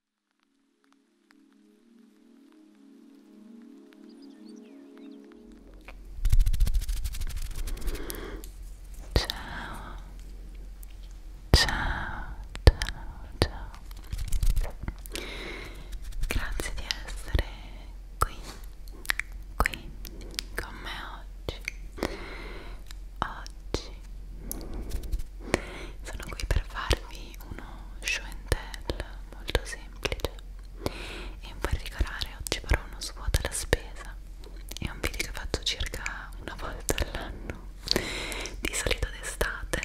Ciao, ciao, ciao, ciao. Grazie di essere qui, qui con me oggi. Oggi sono qui per farvi uno show and tell molto semplice e in particolare oggi farò uno svuoto alla spesa è un video che faccio circa una volta all'anno di solito d'estate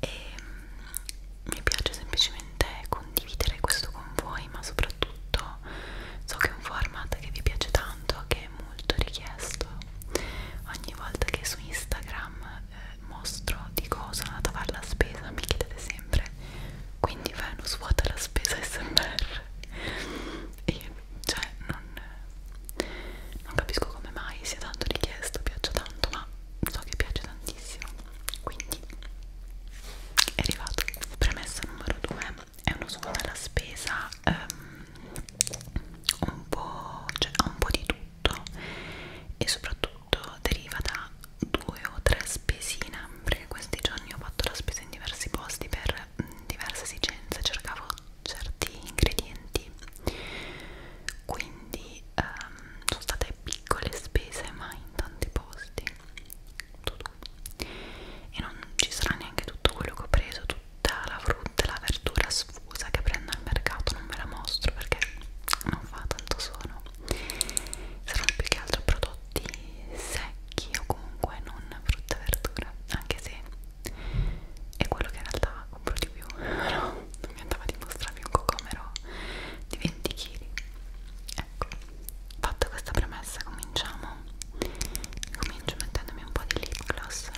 e mm, mi piace semplicemente condividere questo con voi ma soprattutto so che è un format che vi piace tanto che è molto richiesto ogni volta che su Instagram eh, mostro dico sono andata a fare la spesa mi chiedete sempre quindi Venus vuota la spesa SMR e cioè non, non capisco come mai sia tanto richiesto piaccia tanto ma so che piace tantissimo quindi è arrivato premessa numero 2 è uno svuota alla spesa um, un po' cioè ha un po' di tutto e soprattutto tutto deriva da due o tre spesine perché questi giorni ho fatto la spesa in diversi posti per mm, diverse esigenze cercavo certi ingredienti quindi ehm, sono state piccole spese ma in tanti posti e non ci sarà neanche tutto quello che ho preso tutta la frutta e la verdura sfusa che prendo al mercato non ve la mostro perché non fa tanto suono saranno più che altro prodotti secchi o comunque non frutta e verdura anche se è quello che in realtà compro di più però no, non mi andava di mostrarvi un cocomero di 20 kg ecco fatta questa premessa cominciamo comincio mettendomi un po' di lip gloss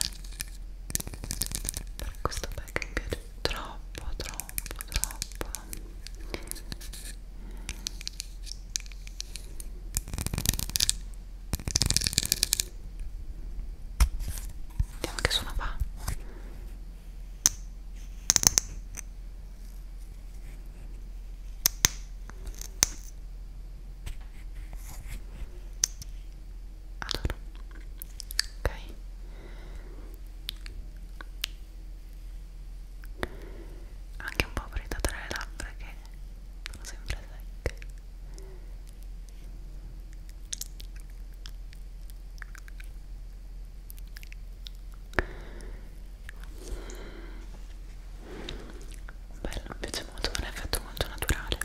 per questo bag mi piace troppo troppo troppo vediamo che suono fa allora ok anche un po' presa tra le labbra che sono sempre secche bello, mi piace molto, è un effetto molto naturale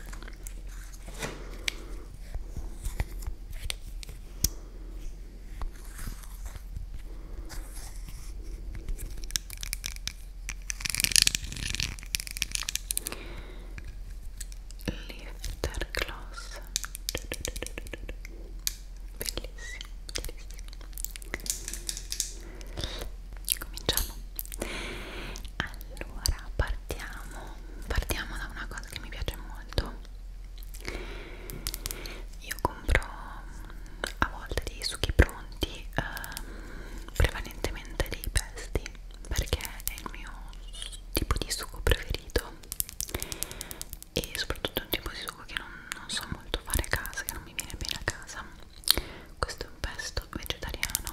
Lifter gloss bellissimo, bellissimo cominciamo allora partiamo partiamo da una cosa cosa che mi piace molto io compro a volte dei succhi pronti ehm, prevalentemente dei pesti perché è il mio tipo di succo preferito e soprattutto è un tipo di succo che non, non so molto fare a casa che non mi viene bene a casa questo è un pesto vegetariano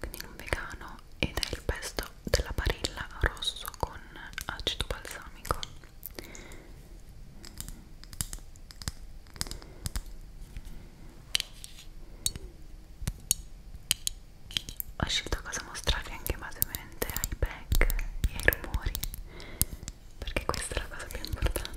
quindi non vegano ed è il pesto della Barilla rosso con acido balsamico ho scelto cosa mostrarvi anche basemente ai pack e ai rumori perché questa è la cosa più importante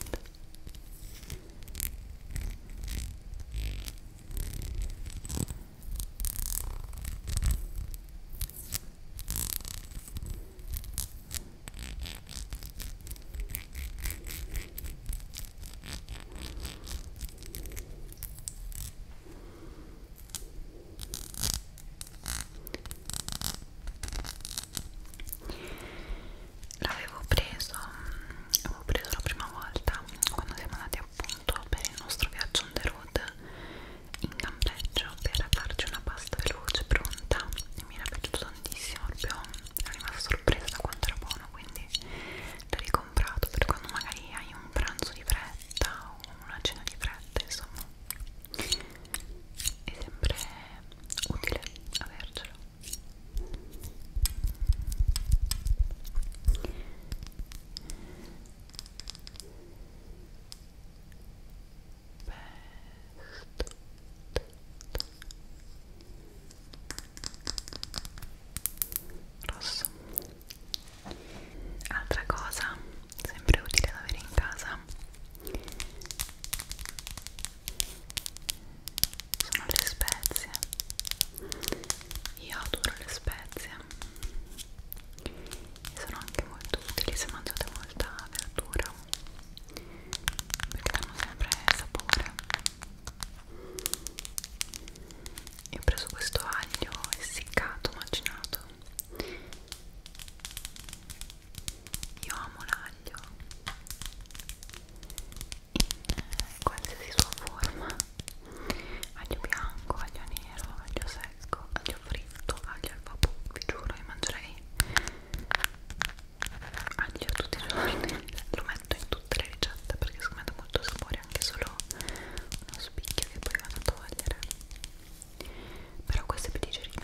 L'avevo preso, avevo preso la prima volta quando siamo andati appunto per il nostro viaggio on the road in campeggio per farci una pasta veloce pronta e mi era piaciuto tantissimo proprio ero rimasta sorpresa da quanto era buono quindi l'ho ricomprato per quando magari hai un pranzo di fretta o una cena di fretta insomma è sempre utile avercelo Best. rosso altra cosa sempre utile da avere in casa sono le spezie io adoro le spezie e sono anche molto utili se mangiate molta verdura perché danno sempre sapore io ho preso questo aglio essiccato, macinato io amo l'aglio in qualsiasi sua forma aglio bianco, aglio nero, aglio secco, aglio fritto, aglio al vapore, vi giuro che mangerei aglio tutti i giorni, lo metto in tutte le ricette perché secondo me dà molto sapore anche solo uno spicchio che poi vado a togliere però questo è più digeribile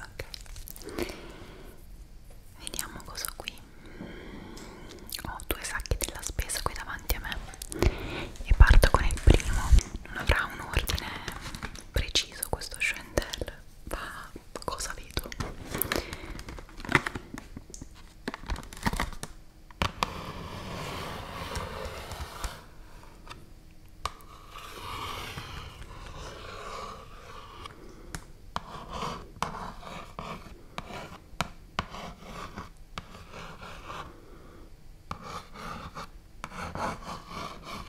ok vediamo cosa ho qui ho due sacchi della spesa qui davanti a me e parto con il primo non avrà un ordine preciso questo Chantel ma cosa vedo?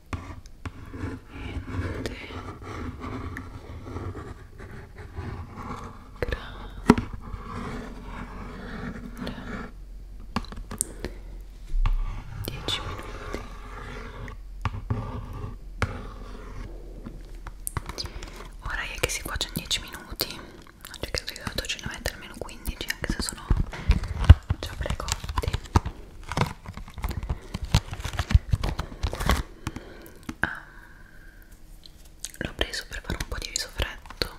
niente grande 10 minuti ora è che si cuoce in 10 minuti non c'è che ho dovuto mettere almeno 15 anche se sono già precotti ah, l'ho preso per fare un po' di risofretto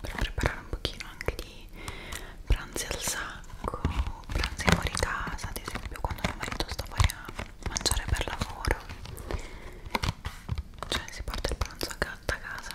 per preparare un pochino anche di pranzi al sacco pranzi fuori casa ad esempio quando mio marito sta fuori a mangiare per lavoro cioè si porta il pranzo a casa a casa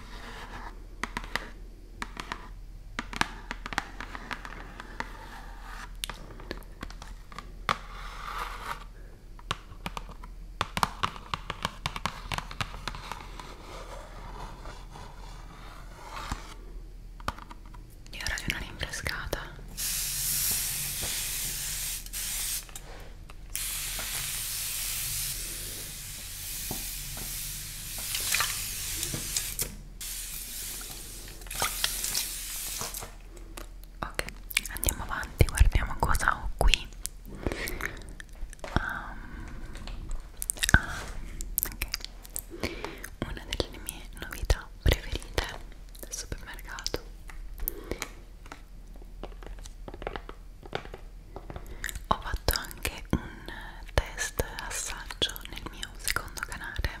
E ora di una rinfrescata Ok, andiamo avanti, guardiamo cosa ho qui. Um, ah, ok. Una delle mie novità preferite del supermercato ho fatto anche un test assaggio nel mio secondo canale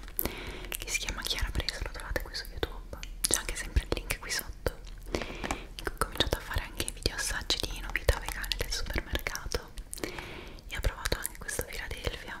che si chiama Chiara Preso, lo trovate qui su YouTube, c'è anche sempre il link qui sotto. Ho cominciato a fare anche video assaggi di novità vegane del supermercato e ho provato anche questo Philadelphia.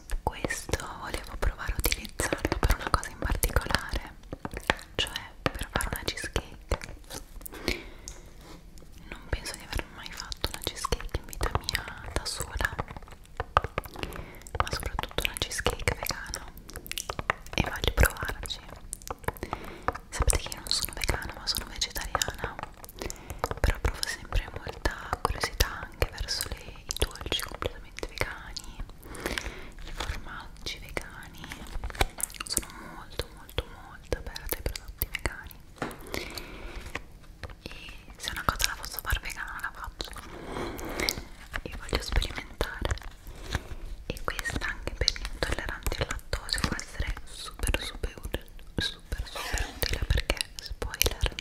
questo volevo provare a utilizzarlo per una cosa in particolare cioè per fare una cheesecake non penso di aver mai fatto una cheesecake in vita mia da sola ma soprattutto una cheesecake vegana e voglio provarci sapete che io non sono vegana ma sono vegetariana però provo sempre molta curiosità anche verso le i dolci completamente vegani, i formaggi vegani, sono molto molto molto aperta ai prodotti vegani e se una cosa la posso far vegana la faccio e voglio sperimentare e questa anche per gli intolleranti al lattosio può essere super super utile super super utile perché spoiler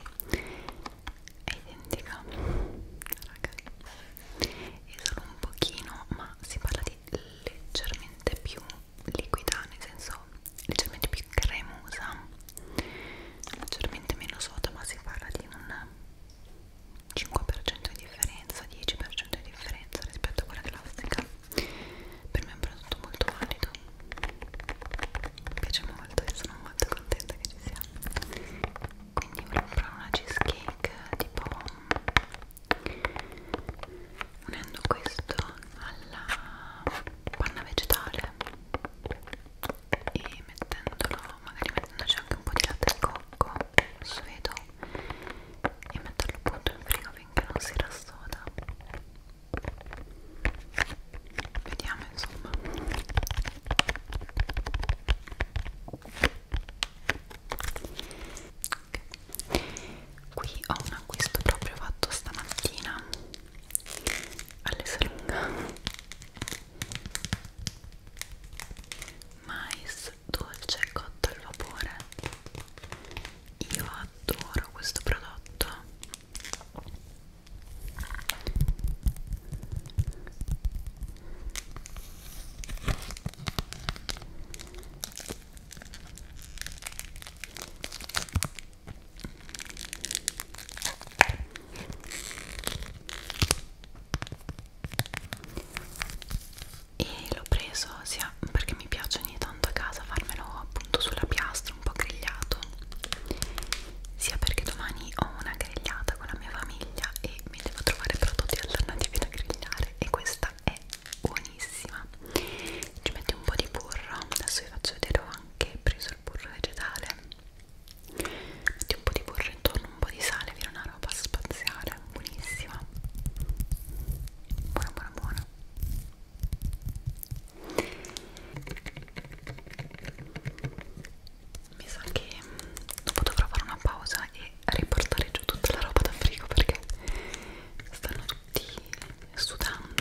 è identica ragazzi è solo un pochino ma si parla di leggermente più liquida nel senso leggermente più cremosa leggermente meno soda ma si parla di un 5% di differenza 10% di differenza rispetto a quella classica per me è un prodotto molto valido mi piace molto e sono molto contenta che ci siamo quindi volevo provare una cheesecake tipo unendo questo alla panna vegetale e mettendolo magari mettendoci anche un po' di latte al cocco suedo e metterlo appunto in frigo finché non si rassoda vediamo insomma okay. qui ho un acquisto proprio fatto stamattina all'esalunga mais dolce cotto al vapore io adoro questo prodotto e l'ho preso sia perché mi piace ogni tanto a casa farmelo appunto sulla piastra un po' grigliato sia perché domani ho una grigliata con la mia famiglia e mi devo trovare prodotti alternativi da grigliare e questa è buonissima ci metti un po' di burro adesso vi faccio vedere ho anche preso il burro vegetale metti un po' di burro intorno un po' di sale viene una roba spaziale buonissima buona buona buona mi sa che dopo dovrò fare una pausa e riportare giù tutta la roba da frigo perché stanno tutti sudando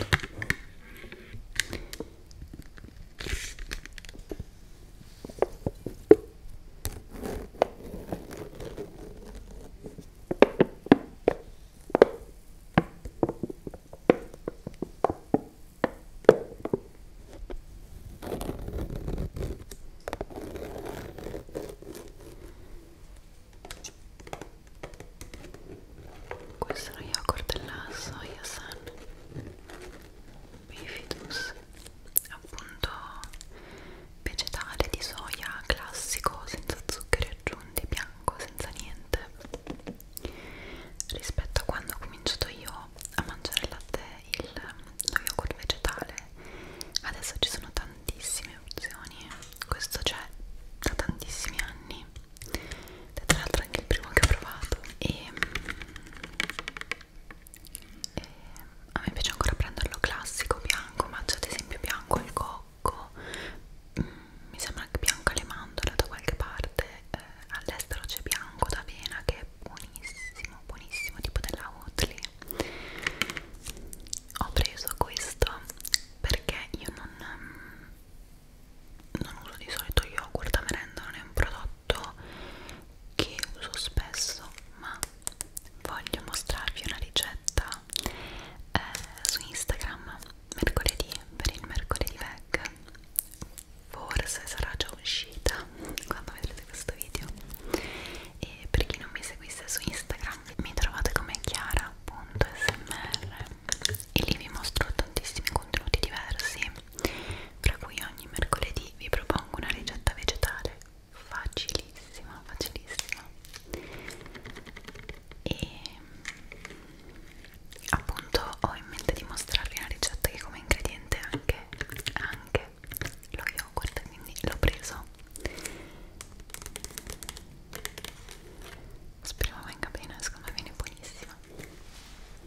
questo è lo yogurt della soia san bifidus appunto vegetale di soia classico senza zuccheri aggiunti bianco senza niente rispetto a quando ho cominciato io a mangiare latte il lo yogurt vegetale adesso ci sono tantissime opzioni questo c'è da tantissimi anni è tra l'altro anche il primo che ho provato e, e a me piace ancora prenderlo classico bianco mangio ad esempio bianco al cocco mm, mi sembra anche bianco alle mandorle da qualche parte eh, all'estero c'è bianco d'avena che è buonissimo, buonissimo, tipo della Oatly ho preso questo perché io non, mm, non uso di solito yogurt a merenda, non è un prodotto che uso spesso ma voglio mostrarvi una ricetta eh, su Instagram mercoledì per il mercoledì veg forse sarà già uscita quando vedrete questo video e per chi non mi seguisse su Instagram mi trovate come chiara.smr e lì vi mostro tantissimi contenuti diversi fra cui ogni mercoledì vi propongo una ricetta vegetale facilissima facilissima e appunto ho in mente di mostrarvi una ricetta che come ingrediente anche, anche lo yogurt quindi l'ho preso speriamo venga bene secondo me viene buonissima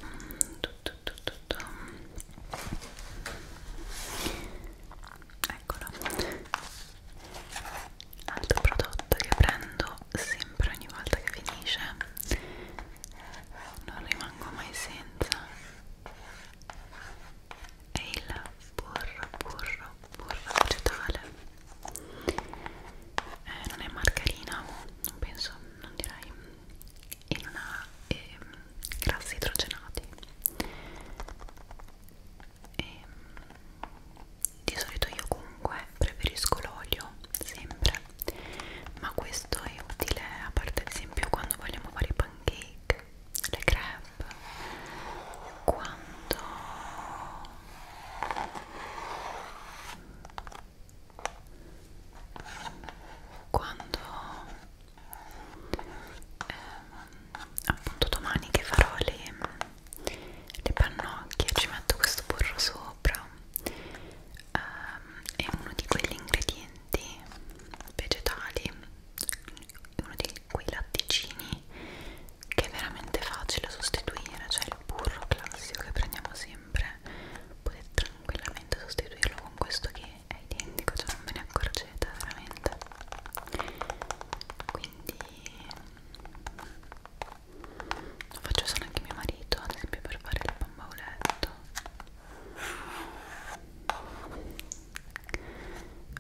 mm, tu, tu, tu, tu, tu. eccolo altro prodotto che prendo sempre sempre ogni volta che finisce non rimango mai senza è il burro burro burro vegetale eh, non è margarina non penso non direi e non ha eh, grassi idrogenati e, ehm, di solito io comunque preferisco l'olio sempre mangiare ma questo è utile a parte ad esempio quando vogliamo fare i pancake le crepe quando quando ehm, appunto domani che farò le, le pannocchie ci metto questo burro sopra um, è uno di quegli ingredienti vegetali uno di quei latticini che è veramente facile sostituire cioè il burro classico che prendiamo sempre potete tranquillamente sostituirlo con questo che è identico cioè non ve ne accorgete veramente quindi lo faccio solo anche mio marito ad esempio per fare il bamboletto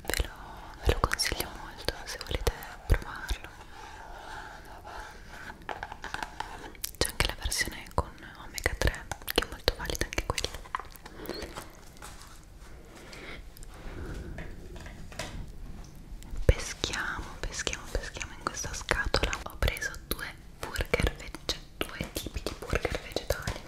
ve lo, ve lo consiglio molto se volete provarlo c'è anche la versione con omega 3 che è molto valida anche quella peschiamo peschiamo peschiamo in questa scatola ho preso due burger veg due tipi di burger vegetali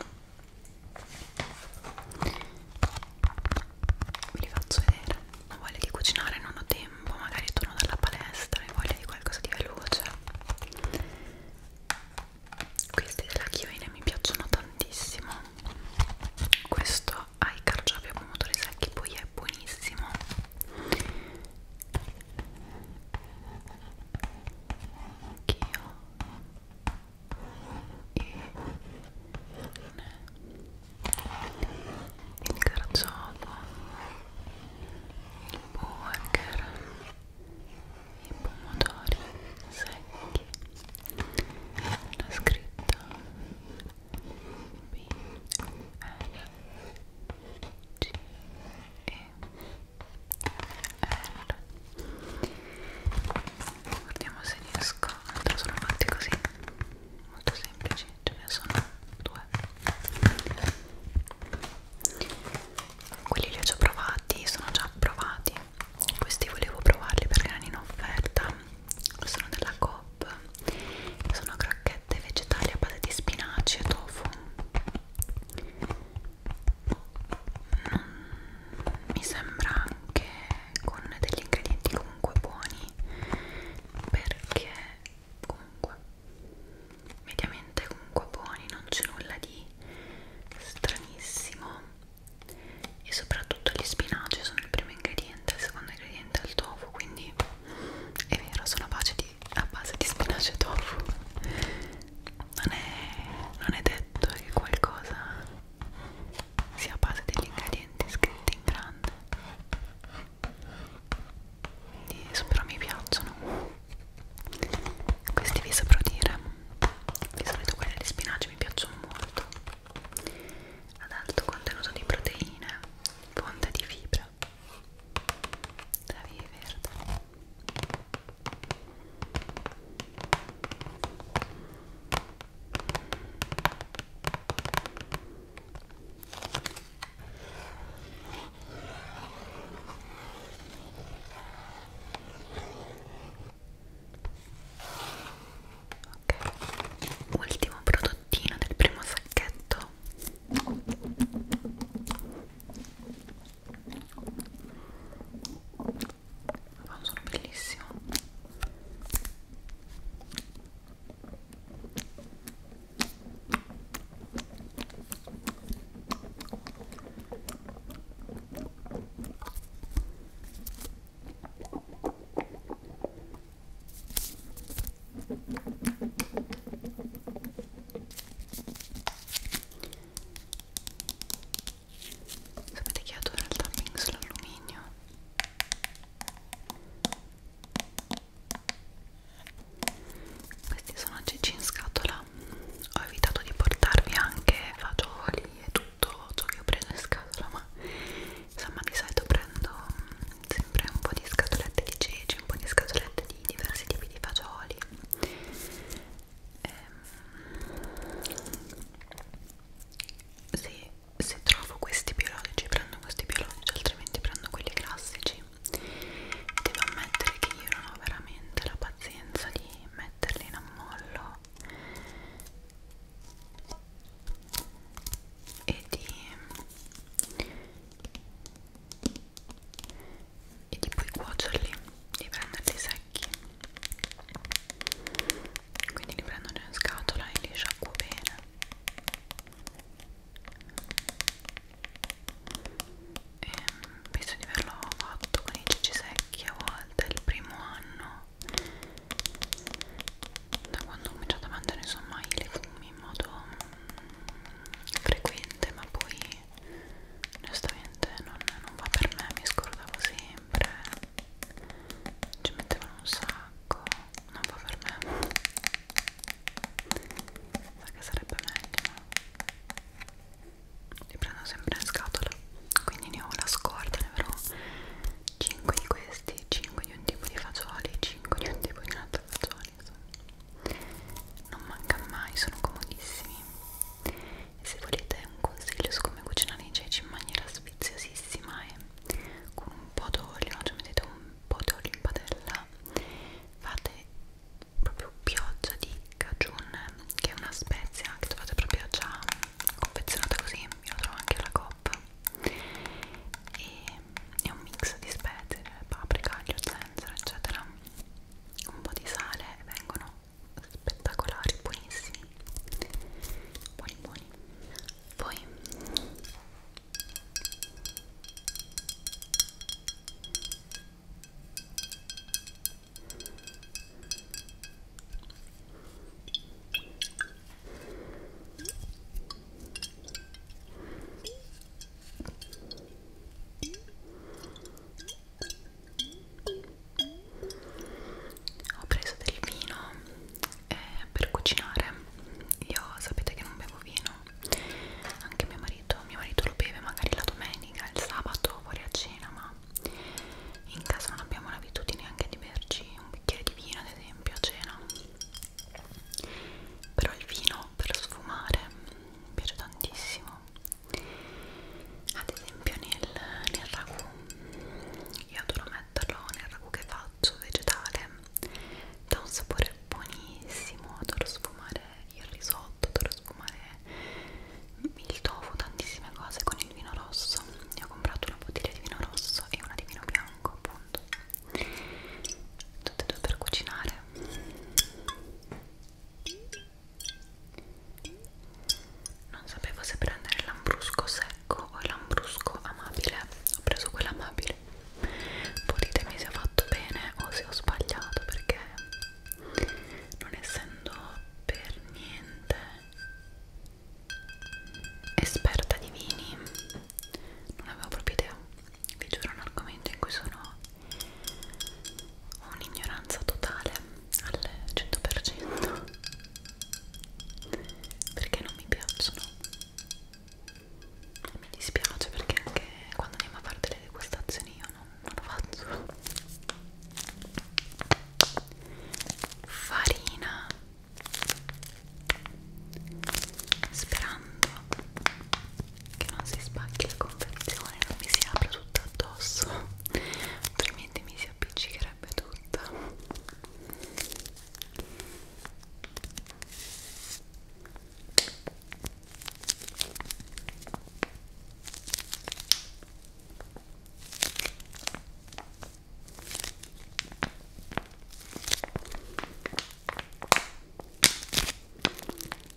ve li faccio vedere ho voglia di cucinare non ho tempo magari torno dalla palestra e voglia di qualcosa di veloce questi della Chioine mi piacciono tantissimo questo ha i carciofi pomodori secchi poi è buonissimo anch'io e il carciofo il burger i pomodori secchi la scritta B L C E l. Guardiamo se riesco. Altro sono fatti così. Molto semplici. Ce ne sono due. Quelli li ho già provati. Sono già provati. Questi volevo provarli perché erano in offerta. Sono della Coop. Sono crocchette vegetali a base di spinaci e tofu mi sembra anche con degli ingredienti comunque buoni perché comunque mediamente comunque buoni non c'è nulla di stranissimo e soprattutto gli spinaci sono il primo ingrediente il secondo ingrediente è il tofu quindi è vero sono a pace di a base di spinaci e tofu non è, non è detto che qualcosa sia a base degli ingredienti scritti in grande quindi però mi piacciono questi vi saprò dire di solito quelli di spinaci mi piacciono molto ad alto contenuto di proteine fonte di fibra la via verde Ok, ultimo prodottino del primo sacchetto questo fa un suono bellissimo Sapete che adoro il tapping sull'alluminio? Questi sono ceci in scatola. Ho evitato di portarvi anche fagioli e tutto ciò che ho preso in scatola, ma insomma di solito prendo mm, sempre un po' di scatolette di ceci, un po' di scatolette di diversi tipi di fagioli eh, se, se trovo questi biologici prendo questi biologici altrimenti prendo quelli classici devo ammettere che io non ho veramente la pazienza di metterli in ammollo e di e di poi cuocerli di prenderli secchi quindi li prendo in scatola e li sciacquo bene e penso di averlo fatto con i ceci secchi a volte il primo anno da quando ho cominciato a mangiare insomma i legumi in modo mm, frequente ma poi onestamente non, non va per me, mi scordavo sempre ci mettevano un sacco non va per me sa che sarebbe meglio li prendo sempre in scatola quindi ne ho la scorta ne avrò 5 di questi 5 di un tipo di fagioli 5 di un tipo di un altro fagiolo insomma non manca mai, sono comodissimi e se volete un consiglio su come cucinare i ceci in maniera sfiziosissima e con un po' d'olio, cioè mettete un po' d'olio in padella fate proprio pioggia di cajun che è una spezia che trovate proprio già confezionata così, io la trovo anche alla coppa e è un mix di spezie, paprika, aglio, zenzero eccetera un po' di sale e vengono spettacolari, buonissimi buoni buoni poi ho preso del vino eh, per cucinare. Io sapete che non bevo vino, anche mio marito, mio marito lo beve magari la domenica, il sabato fuori a cena, ma in casa non abbiamo l'abitudine anche di berci un bicchiere di vino, ad esempio, a cena. Però il vino per sfumare mi piace tantissimo ad esempio nel, nel ragù io adoro metterlo nel ragù che faccio vegetale dà un sapore buonissimo adoro sfumare il risotto adoro sfumare il tofu tantissime cose con il vino rosso io ho comprato una bottiglia di vino rosso e una di vino bianco appunto tutte e due per cucinare non sapevo se prendere l'ambrusco secco o l'ambrusco amabile ho preso quello amabile poi ditemi se ho fatto bene o se ho sbagliato perché non essendo per niente esperta di vini non avevo proprio idea vi giuro è un argomento in cui sono un'ignoranza totale al 100% perché non mi piacciono e mi dispiace perché anche quando andiamo a fare delle degustazioni io non, non lo faccio farina sperando che non si spacchi la confezione, non mi si apra tutto addosso, altrimenti mi si appiccicherebbe tutta.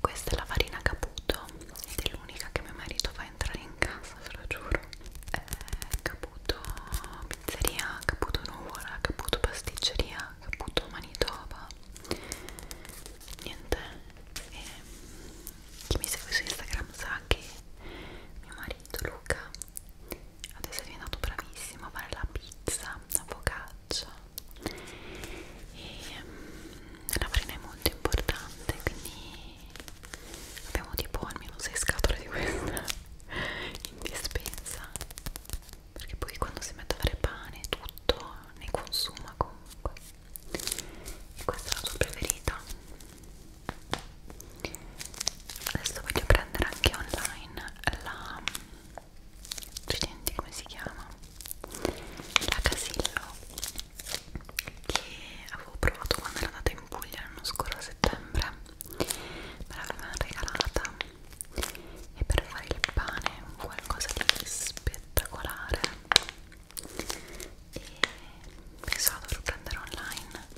Questa è la farina Caputo ed è l'unica che mio marito fa entrare in casa, ve lo giuro. Eh, caputo pizzeria, caputo nuvola, caputo pasticceria, caputo manitoba. Niente. E ehm, chi mi segue su Instagram sa che mio marito Luca adesso è diventato bravissimo a fare la pizza, la focaccia e um, la farina è molto importante quindi abbiamo tipo almeno 6 scatole di questa in dispensa perché poi quando si mette a fare pane tutto ne consuma comunque e questa è la sua preferita adesso voglio prendere anche online la studenti come si chiama la Casillo che avevo provato quando ero andata in Puglia l'anno scorso a settembre me l'avevano regalata e per fare il pane qualcosa di spettacolare e pensavo dovrò prendere online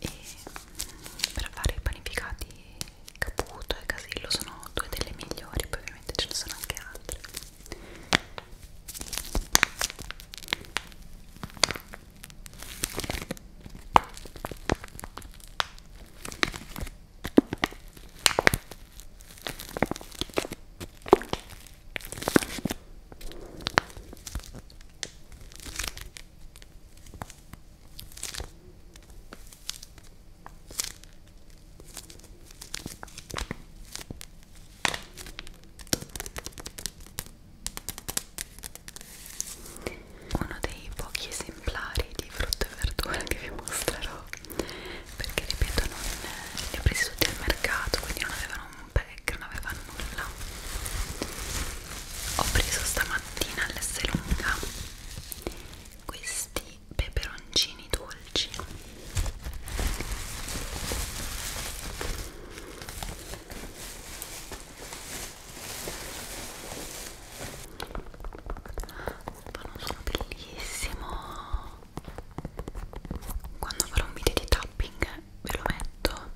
e per fare i panificati Caputo e Casillo sono due delle migliori, poi ovviamente ce ne sono anche altre uno dei pochi esemplari di frutta e verdura che vi mostrerò perché ripeto non eh, li ho presi tutti al mercato quindi non avevano un pack non avevano nulla ho preso stamattina all'Esselunga questi peperoncini dolci fanno sono bellissimo quando farò un video di tapping ve lo metto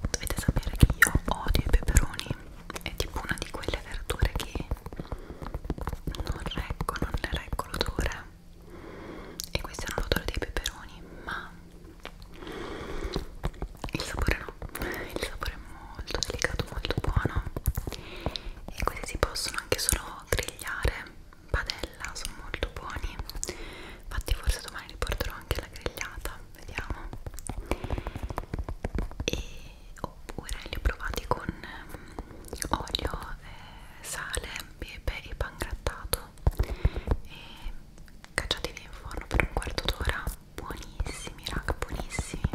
Dovete sapere che io odio i peperoni, è tipo una di quelle verdure che non reggo, non le reggo l'odore e questo è un odore dei peperoni, ma il sapore no, il sapore è molto delicato, molto buono e questi si possono anche solo grigliare in padella, sono molto buoni infatti forse domani li porterò anche alla grigliata, vediamo e oppure li ho provati con mm, olio, eh, sale, pepe e pan grattato e cacciati via in forno per un quarto d'ora buonissimi raga buonissimi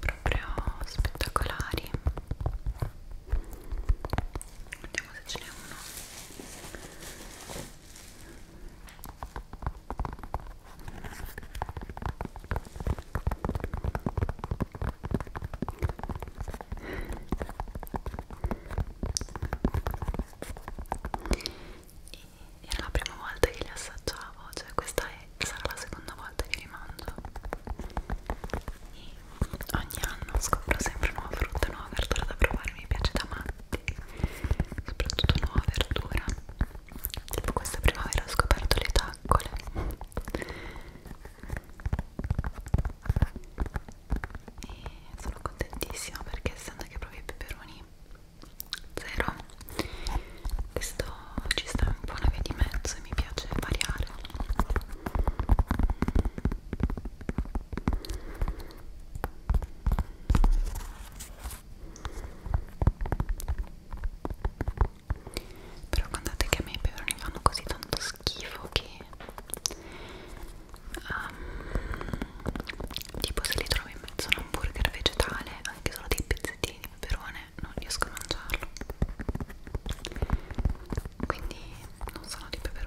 proprio spettacolari vediamo se ce n'è uno e era la prima volta che li assaggiavo, cioè questa è, sarà la seconda volta che li mangio e ogni anno scopro sempre nuova frutta, nuova verdura da provare, mi piace da matti soprattutto nuova verdura tipo questa primavera ho scoperto le taccole e sono contentissima perché essendo che provo i peperoni zero questo ci sta un po' una via di mezzo e mi piace variare però guardate che a me i peperoni fanno così tanto schifo che um, tipo se li trovo in mezzo a un hamburger vegetale anche solo dei pezzettini di peperone non riesco a mangiarlo quindi non sono di peperone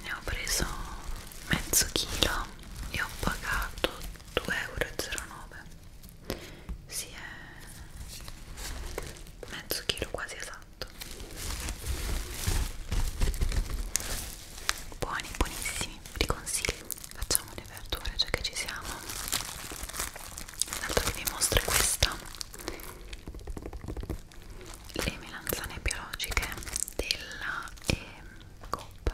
ne ho preso mezzo chilo e ho pagato 2,09 euro si è mezzo chilo quasi esatto buoni, buonissimi, vi consiglio facciamo le verdure già che ci siamo l'altro che vi mostro è questa le melanzane biologiche della eh, Coop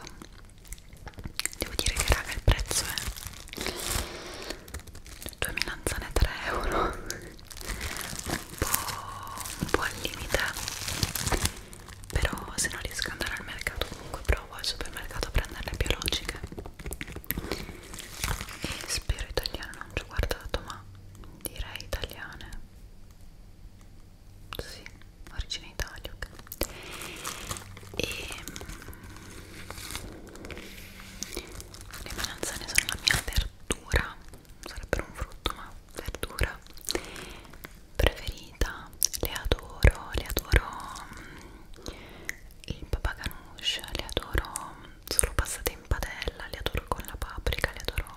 devo dire che raga il prezzo è 2 melanzane 3 euro un po', un po' al limite però se non riesco ad andare al mercato comunque provo al supermercato a prenderne biologiche e spero italiane non ci ho guardato ma direi italiane sì, origine Italia okay. e ehm, le melanzane sono la mia verdura sarebbero un frutto ma verdura preferita le adoro le adoro mm, il papà ganoush le adoro mm, solo passate in padella le adoro con la paprika le adoro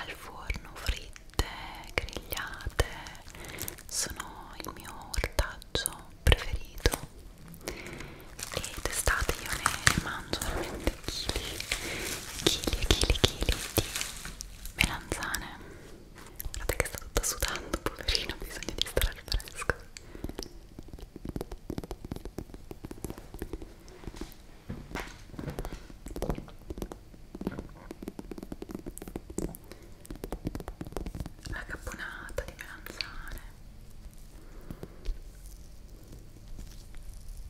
al forno fritte grigliate sono il mio ortaggio preferito e d'estate io ne mangio veramente chili chili e chili chili di melanzane guardate che sta tutta sudando poverino bisogna di stare al fresco la caponata di melanzane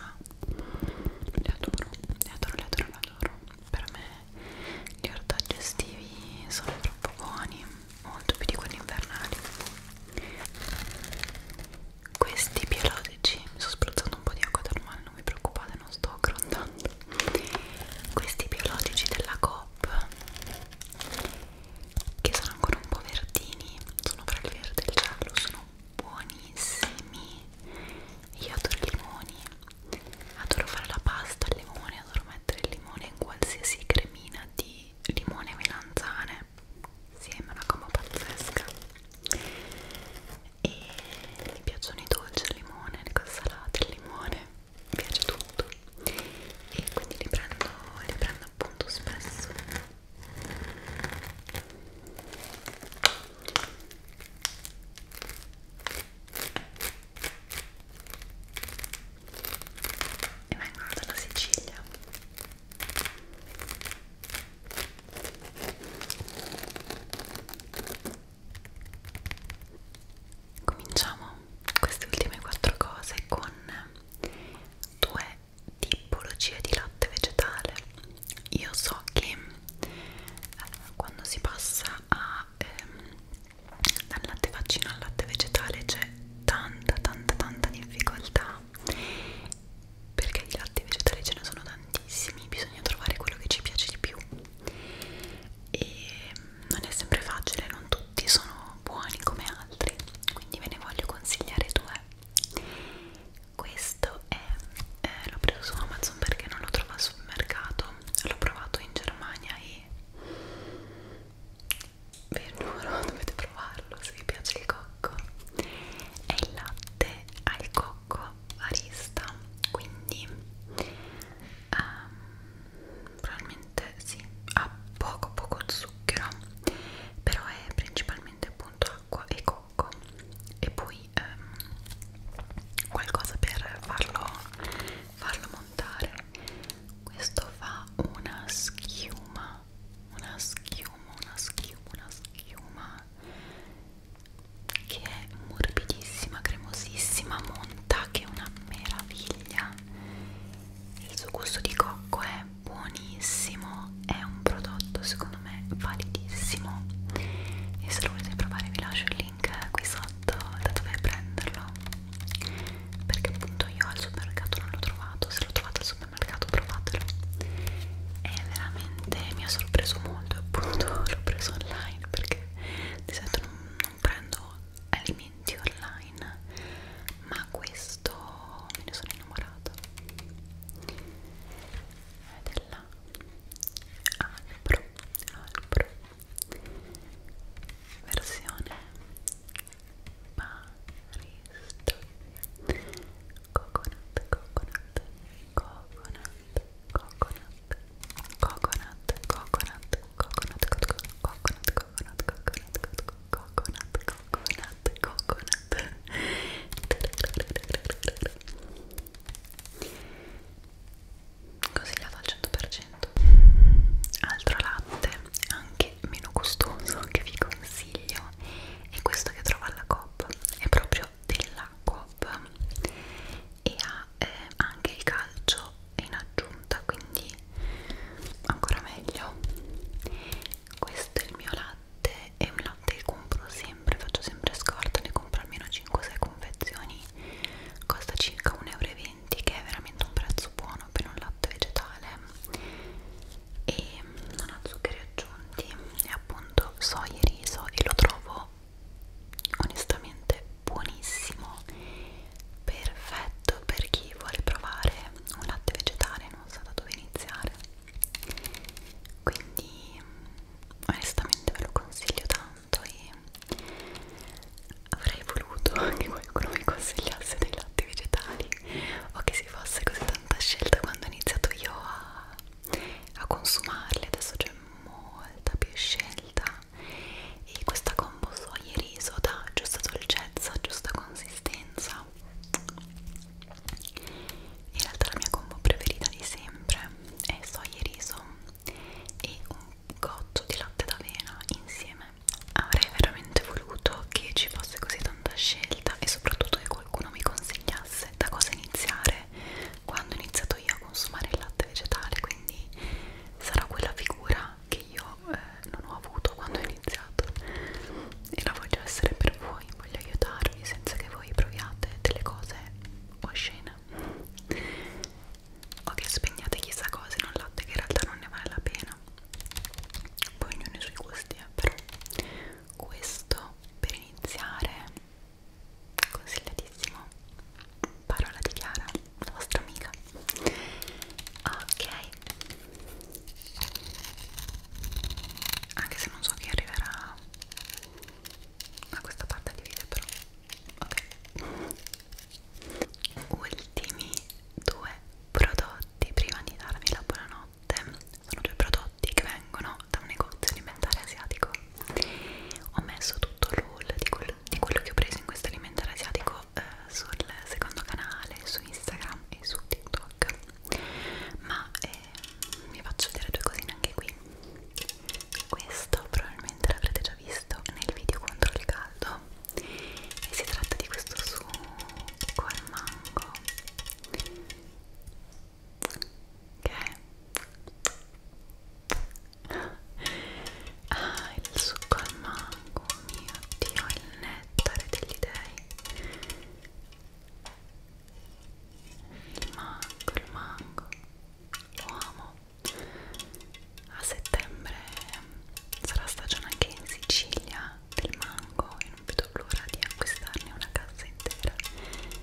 ah, le adoro, le adoro, le adoro, le adoro per me gli ortaggi estivi sono troppo buoni molto più di quelli invernali questi biologici mi sto spruzzando un po' di acqua termale non vi preoccupate non sto grondando questi biologici della Coop che sono ancora un po' verdini sono fra il verde e il giallo sono buonissimi io adoro i limoni adoro fare la pasta al limone adoro mettere il limone in qualsiasi cremina di limone e melanzane insieme sì, una gomma pazzesca e mi piacciono i dolci al limone le cose salate al limone mi piace tutto e quindi li prendo, li prendo appunto spesso e vengono dalla Sicilia cominciamo queste ultime quattro cose con due tipologie di latte vegetale io so che eh, quando si passa a, ehm, dal latte vaccino al latte vegetale c'è tanta tanta tanta difficoltà perché di latte vegetale ce ne sono tantissimi bisogna trovare quello che ci piace di più e non è sempre facile non tutti sono buoni come altri quindi ve ne voglio consigliare due questo è eh, l'ho preso su Amazon perché non lo trovavo sul mercato l'ho provato in Germania e vi giuro dovete provarlo se vi piace il cocco è il latte al cocco barista quindi um, probabilmente sì ha poco poco zucchero però è principalmente appunto acqua e cocco e poi ehm, qualcosa per farlo, farlo montare questo fa una schiuma una schiuma, una schiuma, una schiuma che è morbidissima, cremosissima, monta che è una meraviglia il suo gusto di cocco è buonissimo no è un prodotto secondo me validissimo e se lo volete provare vi lascio il link qui sotto da dove prenderlo perché appunto io al supermercato non l'ho trovato se lo trovate al supermercato provatelo e veramente mi ha sorpreso molto appunto l'ho preso online perché di solito non, non prendo alimenti online ma questo me ne sono innamorata ed è la albro albro versione barista coconut coconut coconut coconut coconut coconut coconut coconut coconut coconut coconut coconut coconut coconut consigliato al 100% altro latte anche meno costoso che vi consiglio è questo che trovo alla Coop è proprio della Coop e ha eh, anche il calcio in aggiunta quindi ancora meglio questo è il mio latte latte e un latte che compro sempre, faccio sempre scorta, ne compro almeno 5-6 confezioni costa circa 1,20 euro che è veramente un prezzo buono per un latte vegetale e mm, non ha zuccheri aggiunti e appunto soia e riso e lo trovo onestamente buonissimo perfetto per chi vuole provare un latte vegetale e non sa da dove iniziare quindi onestamente ve lo consiglio tanto e avrei voluto che qualcuno mi consigliasse dei latte vegetali o che si fosse così tanta scelta quando ho iniziato io a, a consumarli adesso c'è molta più scelta e questa combo soia e riso dà giusta dolcezza, giusta consistenza in realtà la mia combo preferita di sempre è soia e riso e un goccio di latte d'avena insieme avrei veramente voluto che ci fosse così tanta scelta e soprattutto che qualcuno mi consigliasse da cosa iniziare quando ho iniziato io a consumare il latte vegetale quindi sarà quella figura che io eh, non ho avuto quando ho iniziato e la voglio essere per voi voglio aiutarvi senza che voi proviate delle cose oscene o che spegnate chissà cose in un latte che in realtà non ne vale la pena poi ognuno i suoi gusti eh, però questo per iniziare consigliatissimo parola di Chiara la vostra amica ok anche se non so chi arriverà a questa parte di video però ok ultimi due prodotti prima di darvi la buonanotte sono due prodotti che vengono da un negozio alimentare asiatico ho messo tutto l'haul di, quel, di quello che ho preso in questo alimentare asiatico eh, sul secondo canale su Instagram e su TikTok ma eh, vi faccio vedere due cosine anche qui questo probabilmente l'avrete già visto nel video contro il caldo e si tratta di questo succo al mango che è ah il succo al mango mio dio il nettare degli dei il mango, il mango lo amo a settembre sarà stagione anche in Sicilia del mango e non vedo l'ora di acquistarne una cassa intera settembre-ottobre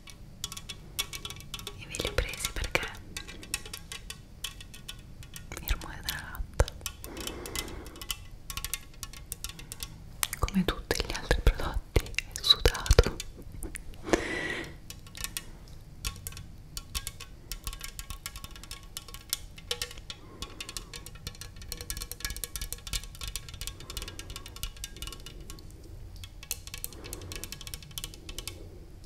e ve li ho presi perché il rumore della latta come tutti gli altri prodotti è sudato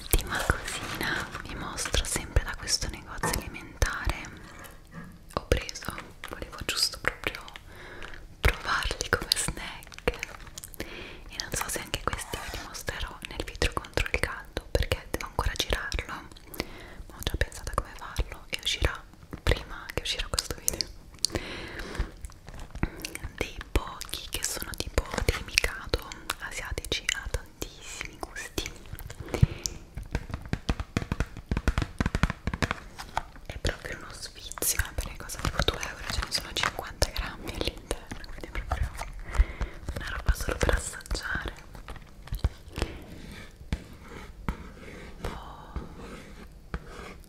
Ultima cosina, vi mostro sempre da questo negozio alimentare. Ho preso, volevo giusto proprio provarli come snack. E non so se anche questi vi mostrerò nel video contro il caldo perché devo ancora girarlo. Ma ho già pensato a come farlo e uscirà prima che uscirà questo video dei pochi che sono tipo dei mikado asiatici ha tantissimi gusti è proprio uno sfizio eh, perché cosa tipo 2 euro ce ne sono 50 grammi all'interno quindi è proprio una roba solo per assaggiare poi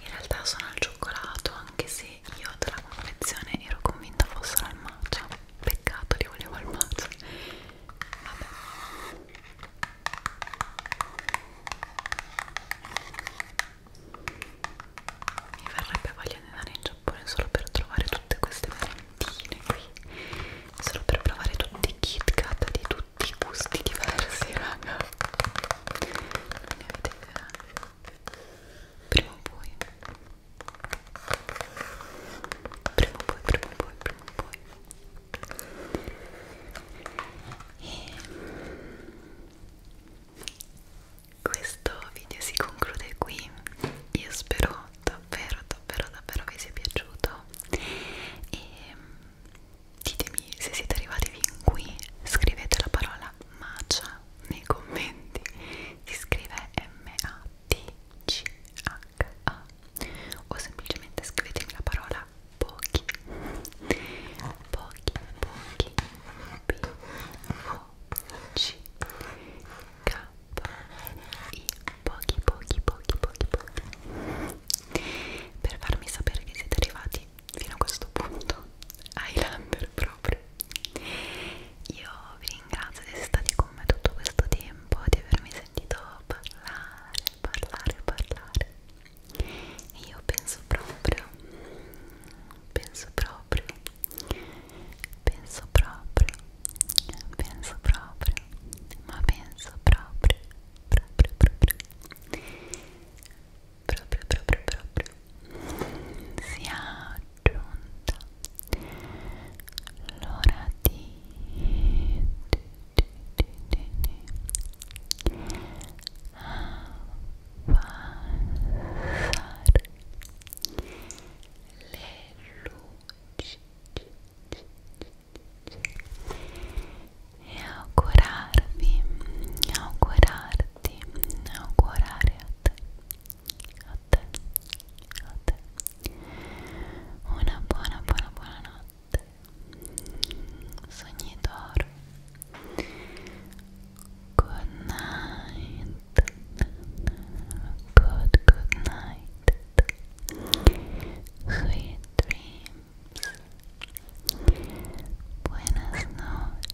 In realtà sono al cioccolato anche se io dalla confezione ero convinta fossero al matcha peccato li volevo al matcha vabbè mi verrebbe voglia di andare in Giappone solo per trovare tutte queste merendine qui solo per provare tutti i Kit Kat di tutti i gusti diversi raga non ne avete idea prima o poi prima o poi prima o poi prima o poi e questo video si conclude qui io spero davvero davvero davvero vi sia piaciuto e ditemi se siete arrivati fin qui scrivete la parola Macia nei commenti si scrive M-A-T-C-H-A o semplicemente scrivetemi la parola pochi pochi pochi P-O-C-K-I pochi pochi pochi pochi pochi per farmi sapere che siete arrivati fino a questo punto Highlander proprio io vi ringrazio di essere stati con me tutto questo tempo, di avermi sentito parlare, parlare, parlare. E io penso proprio, penso proprio, penso proprio, penso proprio, ma penso proprio, proprio, proprio proprio proprio proprio sia giunta l'ora di, di, di, di, di abbassare le luci e augurarvi, augurarti, augurare a te a te, a te. Una buona, buona, buona notte. Sogni d'oro. Good night. Good, good night. Sweet dreams. Buenas noches.